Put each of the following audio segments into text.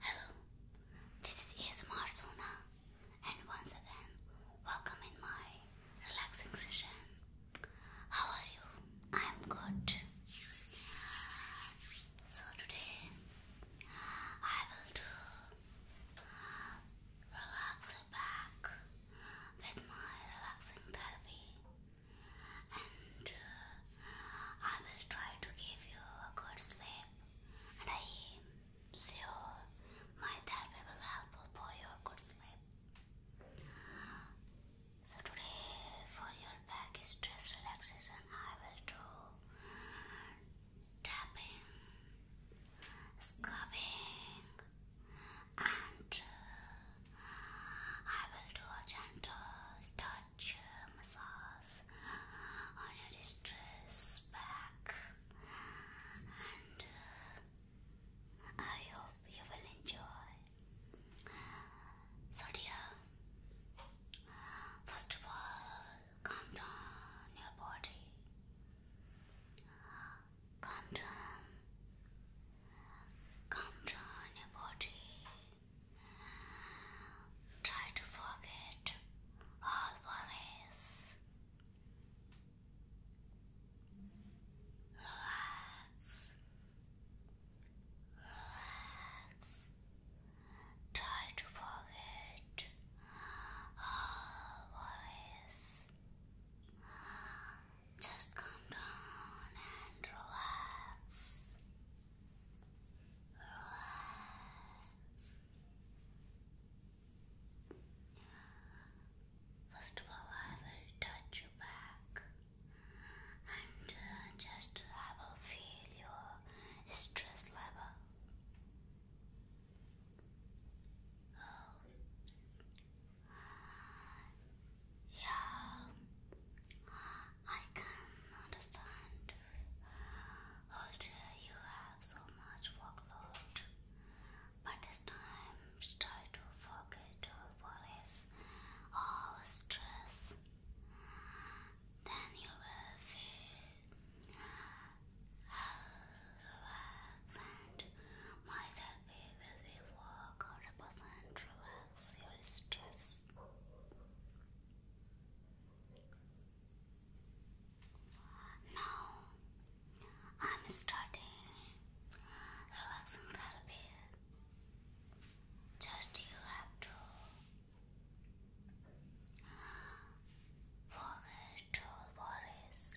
Hello, this is ASMR Sona, and once again, welcome in my relaxing session. How are you? I am good. So, today I will do relax your back with my relaxing therapy and uh, I will try to give you a good sleep and I am sure my therapy will help for your good sleep. So today for your back stress relaxation I will do tapping, scrubbing and uh, I will do a gentle touch touch, massage on your distressed back, and uh, I hope you will enjoy. So, dear, first of all, calm down your body, calm down, calm down your body. Try to forget all worries. Relax. Relax. Try to forget all worries. Just come down and relax. Relax. First of all, I will touch your back and uh, just I will feel your stress level. Oh, yeah, I can understand. Also, you have so much workload, but this time try to forget all worries, all stress. Then you will feel relaxed and myself way where they work or represent relax your stress. I'm starting relaxing therapy. Just you have to forget all worries.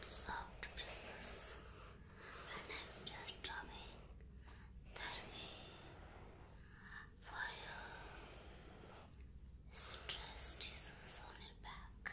soft presses and I'm just drumming therapy for you stress tissues on your back.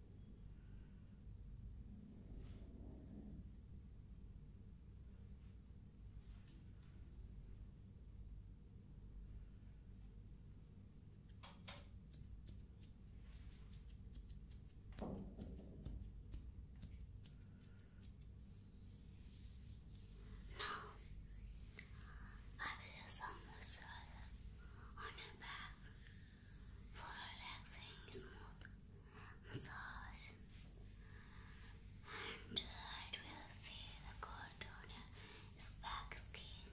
Now, I will do some massage on your back for relaxing smooth massage and it will feel good on your back skin.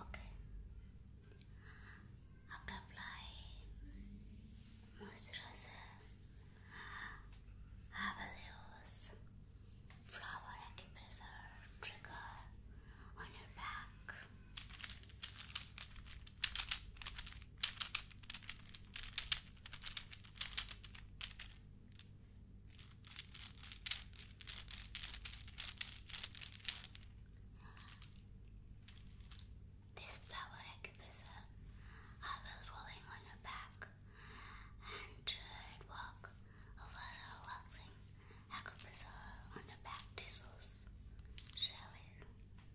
Okay. After apply moisturizer, I will use flower trigger on your back. This flower acupressure I was rolling on your back and it work over relaxing acupressure on your back tissues. Really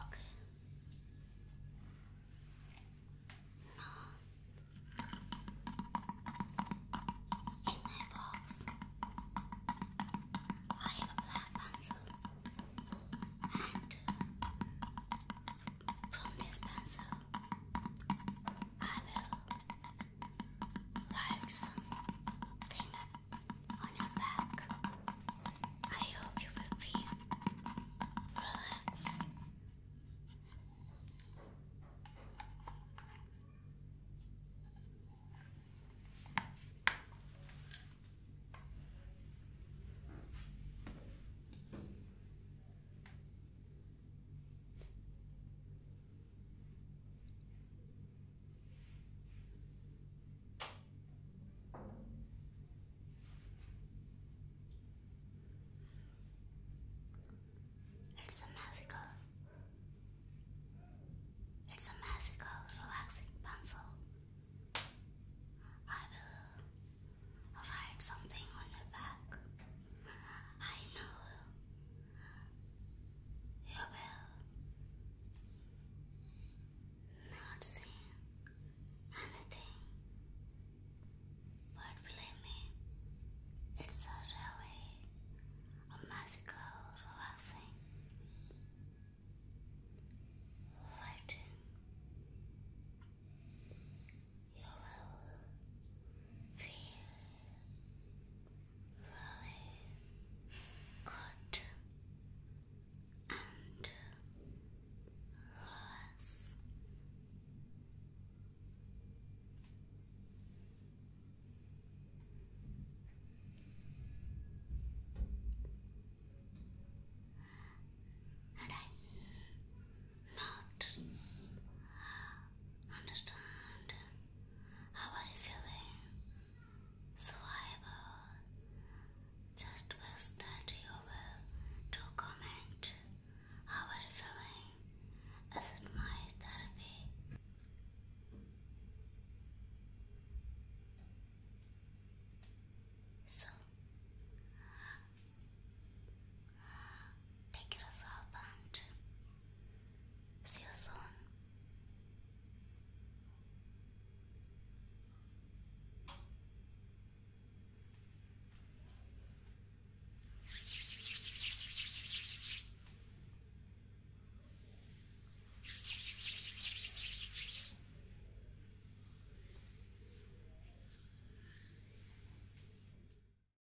Okay. Now, in my box, I have a black pencil, and from this pencil, I will like something on your back. I hope you will feel relaxed. It's a magical, it's a magical, relaxing pencil. I will write something on your back. I know you will not see anything, but believe me, it's a really a magical, relaxing lighting. You will feel good and relax. And not understand how are you feeling? So I will just wish to comment how are you feeling? Is it my therapy? So Take care yourself see you soon.